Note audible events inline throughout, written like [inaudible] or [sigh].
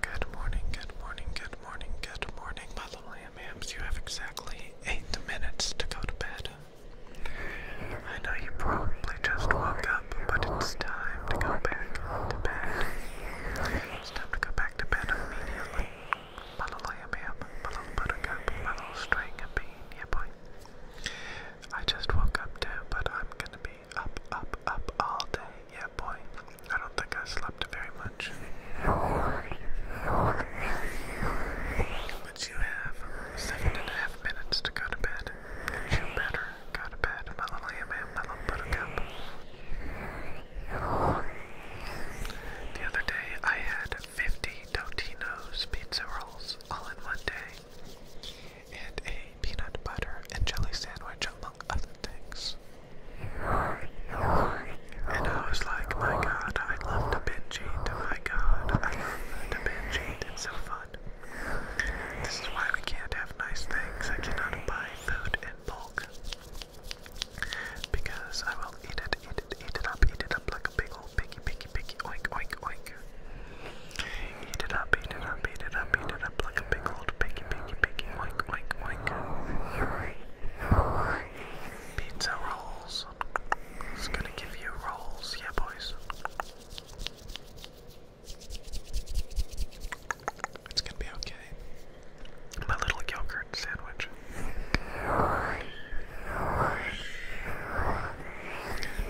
Good morning, good morning, good morning, good morning, my little yams. You have exactly eight minutes to go to bed. I know you probably just woke up, but it's time to go back to bed. It's time to go back to bed immediately. My little yam my little buttercup, my little string bean, yeah boy. I just woke up too, but I'm gonna be up, up, up all day. Yeah, boy. I don't think I slept very much. But you have seven and a half minutes to go to bed. You better go to bed, little yam little buttercup. The other day, I had 50 Totino's pizza rolls all in one day. And a peanut butter and jelly sandwich, among other things. And I was like, my god, I love to binge oh My god, I love to binge It's so fun. This is why we can't have nice things. I cannot buy food in bulk. Because I will eat it, eat it, eat it up, eat it up like a big old piggy, piggy, piggy, oink, oink, oink. Eat it up, eat it up, eat it up, eat it up like a big Picky, picky, picky. Oink, oink, oink. Pizza rolls. It's gonna give you rolls. Yeah, boys. It's gonna be okay. My little yogurt sandwich.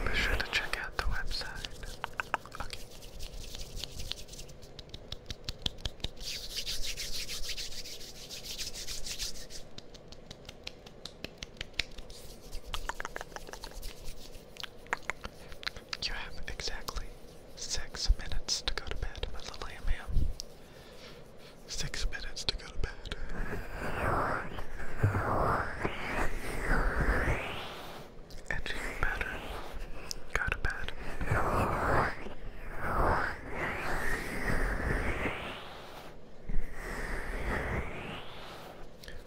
Be sure to check out the website. Okay. You have exactly six minutes to go to bed, little lamb Six minutes to go to bed. Edging better. Go to bed.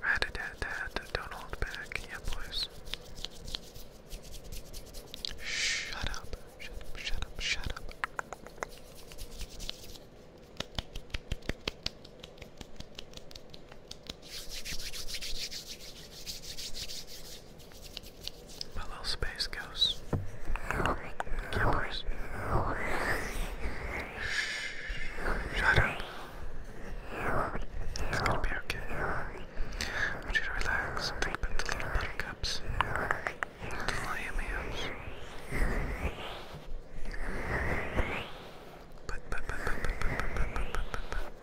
Right at that, don't hold back, yeah, boys. Shut up, shut up, shut up, shut up. My space ghost. Gibbers. Shut up. It's gonna be okay. I you relax think about the little buttercups. The little yummy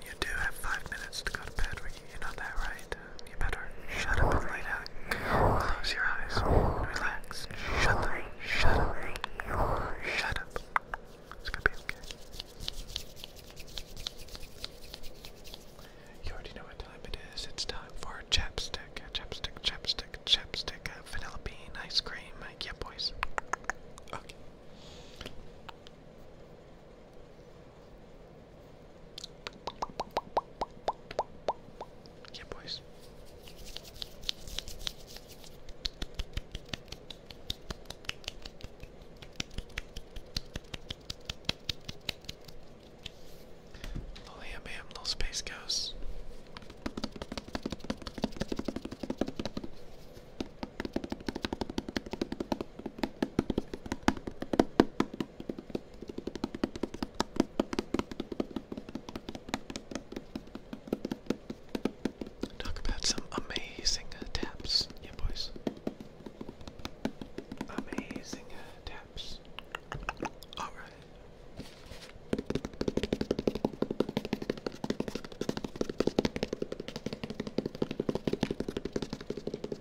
you do have five minutes to go to bed. You're not that, right? You better shut up and lay down. Close your eyes. Relax. Shut up. Shut up. Shut up. It's gonna be okay. You already know what time it is. It's time for chapstick, chapstick, chapstick, chapstick, uh, vanilla bean, ice cream. Uh, yeah, boys. Okay. Yeah, boys. Little ham ham, little space ghosts. Talk about some amazing uh, taps, yeah, boys. Amazing uh, taps. All right.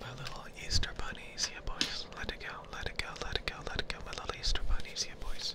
My little Easter bunnies, yeah boys. Let it go, let it go, let it go, let it go. My little Easter bunnies, yeah boys.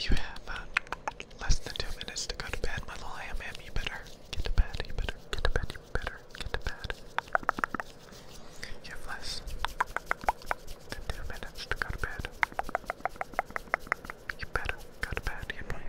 You have uh, less than two minutes to go to bed, little ham better get to bed. You better get to bed. You better get to bed. You have less than two minutes to go to bed. You better go to bed. You better.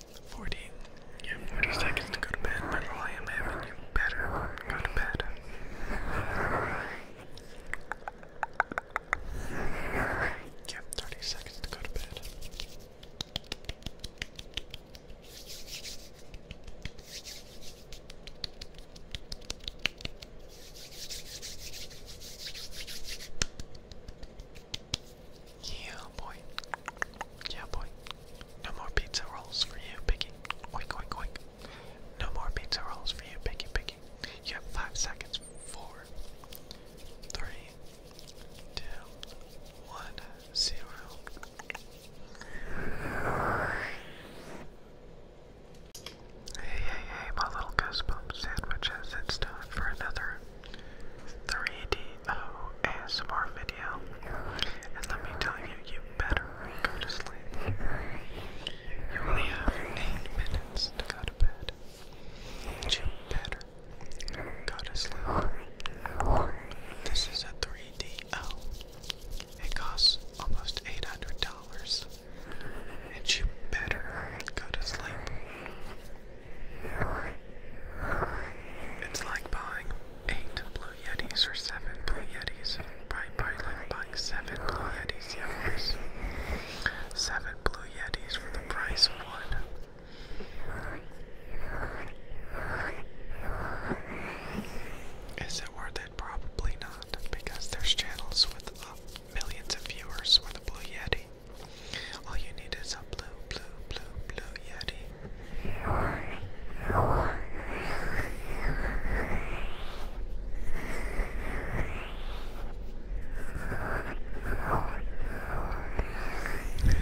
40. You have seconds to go to bed, but I am having you better go to bed. You 30 seconds to go to bed. Yeah, boy. Yeah, boy. No more pizza rolls for you, Piggy. Oink, oink, oink. No more pizza rolls for you, Piggy, Piggy. You have five seconds. Four, three, two, one, zero. Hey, hey, hey, my little goosebump sandwiches. It's time for another 3D O video. And let me tell you, you better go to sleep. You only have eight minutes to go to bed. You better go to sleep. This is a 3DO. It costs almost $800. And you better go to sleep. It's like buying eight Blue Yetis or seven Blue Yetis. Right, probably like, like seven Blue Yetis, yeah, Seven Blue Yetis for the price of one. Is it worth it? Probably not, because there's channels with uh, millions of viewers with a Blue Yeti. All you need is a blue, blue, blue, blue Yeti. It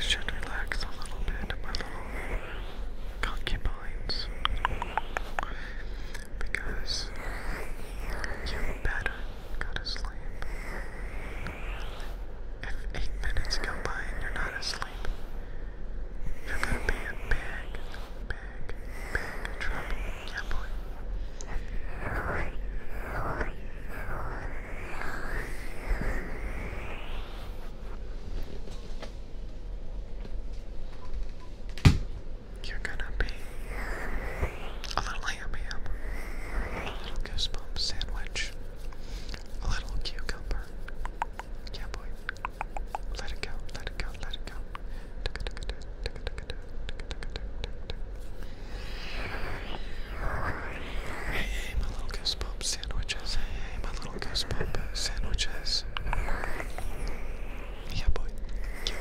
should relax a little bit, my little concubines, because you better go to sleep. If eight minutes go by and you're not asleep, you're gonna be in big, big, big trouble. Yeah, You're gonna be a little ham a little goosebump sandwich, a little cucumber, yeah, boy. Let it go, let it go, let it go. Hey, my little goosebump sandwiches. Hey, my little goosebump sandwiches. Yeah, boy. Yeah, boy.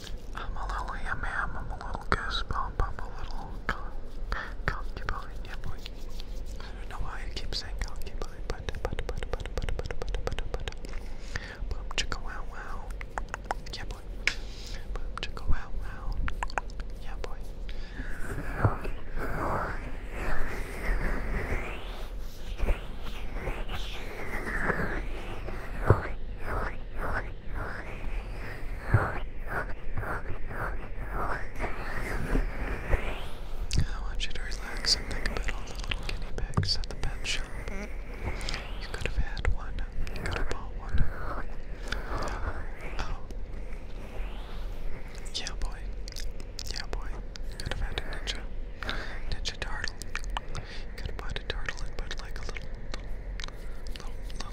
I'm a little yum yum, I'm a little goosebump, I'm a little con concubine, yeah boy. I don't know why I keep saying concubine, but but but but but but but but but but boom chicka wow wow, yeah boy. Boom chicka wow wow, yeah boy. I want you to relax and think about all the little guinea pigs at the pet shop. You could have had one. You could have bought one. Oh. Yeah, boy. Yeah, boy. You could have had a ninja. Ninja turtle. You could have bought a turtle and put like a little, little, little, little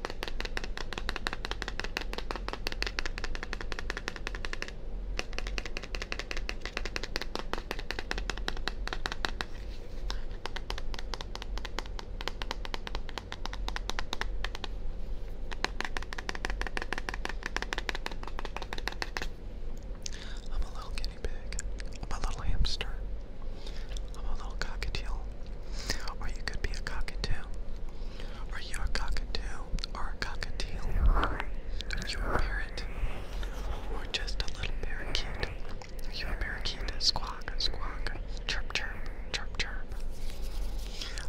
I'm a little guinea pig. I'm a little hamster. I'm a little cockatiel. Or you could be a cockatoo. Or you a cockatoo or a cockatiel. Are you a parrot? Or just a little parakeet? Are you a parakeet? Squawk, squawk, chirp, chirp, chirp, chirp.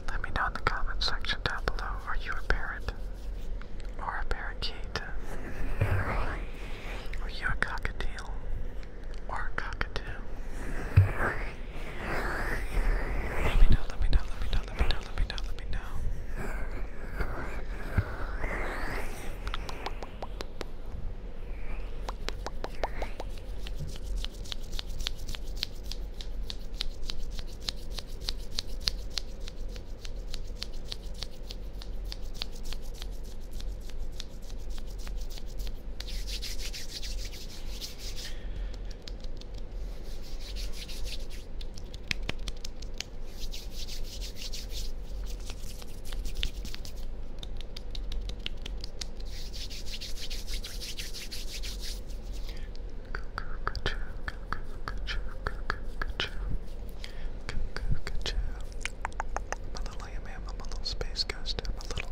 Let me know in the comment section down below. Are you a parrot? Or a parakeet? Are you a cockatiel? Or cockatoo. Let me know, let me know, let me know, let me know, let me know, let me know. I'm a little space ghost. I'm a little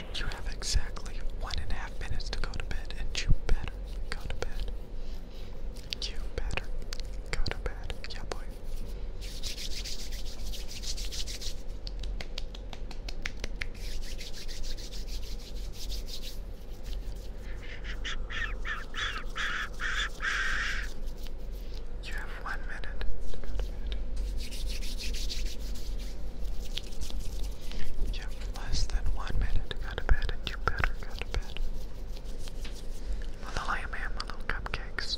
You have exactly one and a half minutes to go to bed, and you better go to bed. You better go to bed. Yeah, You have one minute to go to bed. Yeah, less than one minute go to bed, and you better go to bed. Well, I am my little cupcakes.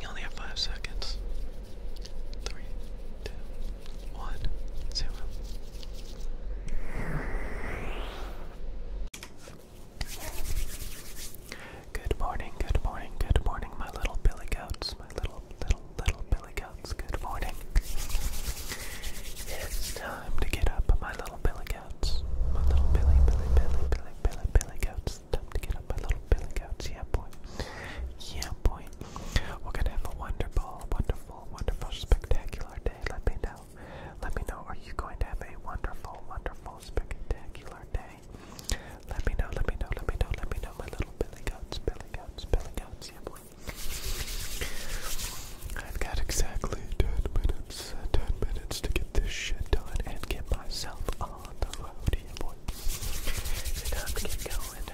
You only have five seconds. Three, two, one, zero. Good morning, good morning, good morning, my little billy goats, my little, little, little billy goats. Good morning. It's time to get up, my little billy goats, my little billy, billy, billy, billy, billy, billy goats. Time to get up my little billy goats. Yeah, boy. Yeah, boy. We're gonna have a wonderful, wonderful, wonderful, spectacular day. Let me know. Let me know. Are you going to have a wonderful, wonderful, spectacular day? Let me know. Let me know. Let me know. Let me know. My little billy goats. Billy goats. Billy goats. Yeah, boy. I've got exactly ten minutes. Ten minutes to get this shit done and get myself a it's time to get going.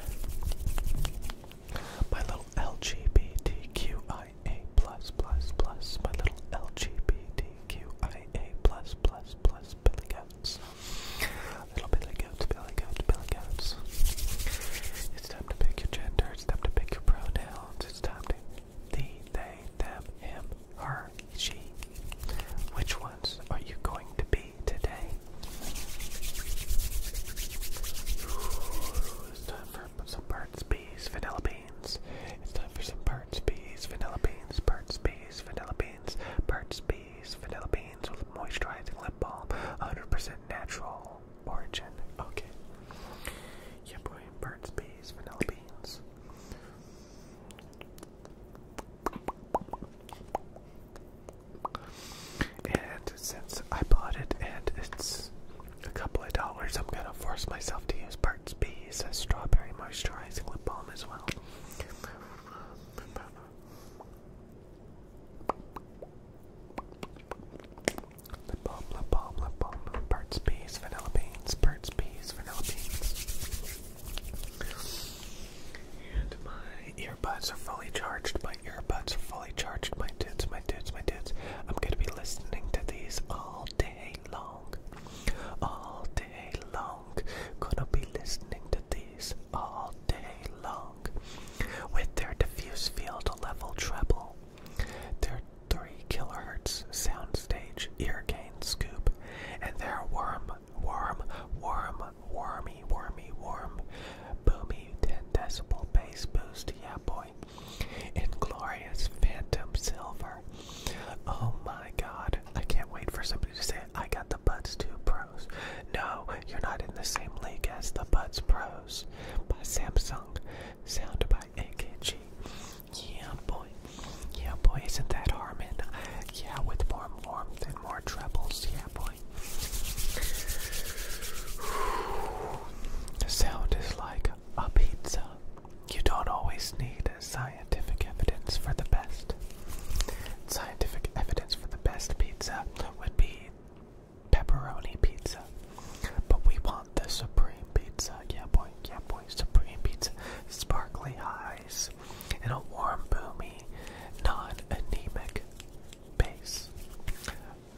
My little LGBTQIA plus plus plus. My little LGBTQIA plus plus plus billy goats. Little billy goats, billy goats, billy goats. It's time to pick your gender. It's time to pick your pronouns. It's time to thee, they, them, him, her, she. Which ones are you going to be today? it's time for some birds, bees, vanilla beans. It's time for some birds, bees, vanilla beans, birds, bees, vanilla beans, birds, bees, vanilla beans with moisturizing lip balm, 100% natural origin. Okay. Yeah, boy, birds, bees, vanilla beans. And since I bought it and it's a couple of dollars, I'm gonna force myself to use Burt's Bees strawberry moisturizing lip balm as well. Lip balm, lip balm, lip balm, Burt's Bees, vanilla beans, Burt's Bees, vanilla beans. And my earbuds are fully charged. My earbuds are fully charged. My tits, my tits, my tits. I'm gonna be listening to these all day long. All day long. Gonna be listening to these all day long. With their diffuse field level treble. Their 3 kilohertz soundstage ear gain scoop, and they're worm, worm, worm, wormy, wormy, worm, boomy, 10 decibel bass boost, yeah boy, inglorious phantom silver. Oh my god, I can't wait for somebody to say, I got the Buds 2 Pros. No, you're not in the same league as the Buds Pros by Samsung, sound by AKG. Yeah, boy. Yeah, boy, isn't that Harmon? Yeah, with more warmth and more trebles. Yeah, boy. [sighs] The sound is like a pizza. You don't always need scientific evidence for the best. Scientific evidence for the best pizza would be pepperoni pizza. But we want the supreme pizza. Yeah, boy. Yeah, boy. Supreme pizza. Sparkly eyes in a warm, boomy, non-anemic bass.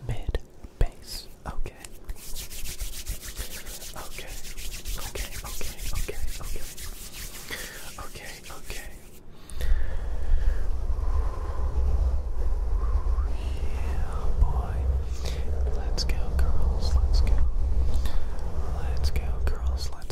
Mid bass. Okay. Okay. Okay. Okay. Okay. Okay. Okay. Yeah, boy. Let's go, girls. Let's go. Let's go, girls. Let's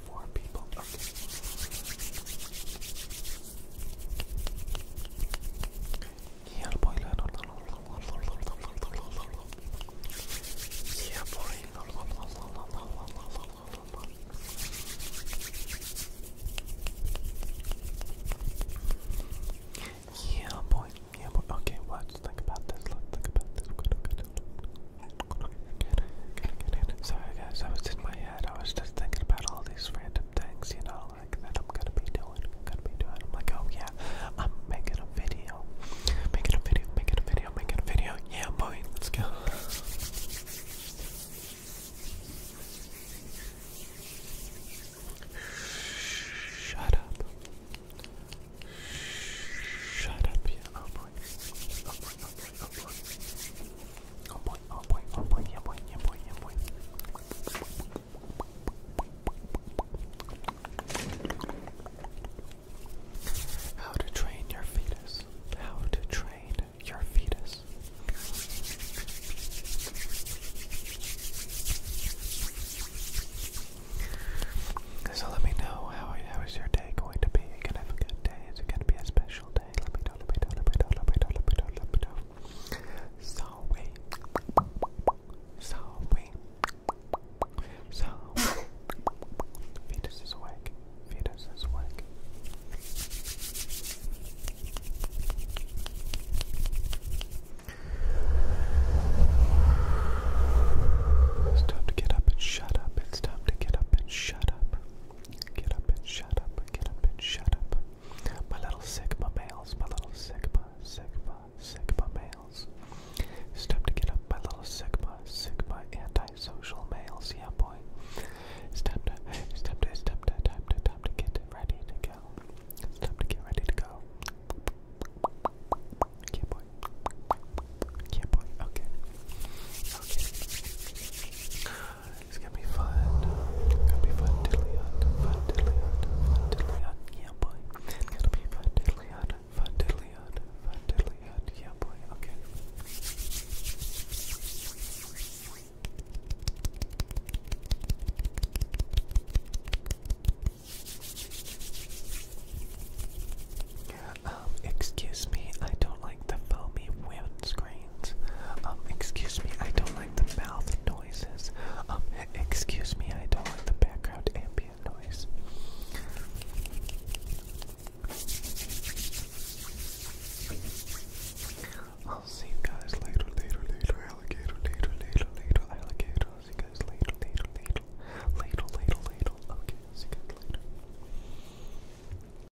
Yeah, boy. Yeah, boy. Yeah, boy. Yeah, boy. Okay, watch. Think about this. Let's think about this. Sorry guys, I was in my head, I was just thinking about all these random things, you know, like that I'm gonna be doing, I'm gonna be doing. I'm like, oh yeah, I'm making a video. Making a video, making a video, making a video. Yeah boy, let's go. Shut up. Shut up, yeah. Oh, boy. Oh, oh, Oh boy, oh How to train your fetus. How to train your fetus. So let me know how how is your day going to be? you gonna have a good day. Is it gonna be a special so we, so we, so fetus is awake, fetus is awake. It's time to get up and shut up. It's time to get up and shut up. Get up and shut up, get up and shut up. My little Sigma males, my little Sigma, Sigma, Sigma males. It's time to get up, my little Sigma, Sigma antisocial males, yeah boy. It's time to, it's time to, it's time to, time to, time to get ready to go. It's time to get ready to go. Yeah boy. Yeah boy, Okay. It's gonna be fun. gonna be fun diddly on, fun fun yeah boy. gonna be fun diddly on, fun fun yeah boy. Okay. Um, excuse me, I don't like the foamy windscreen. Um, excuse me, I don't like the mouth noises. Um, excuse me, I don't like the background ambient noise. I'll see you guys later, later, later, alligator, later, later, later, alligator. see you guys later, later, later, later, later, later. Okay, see you guys later.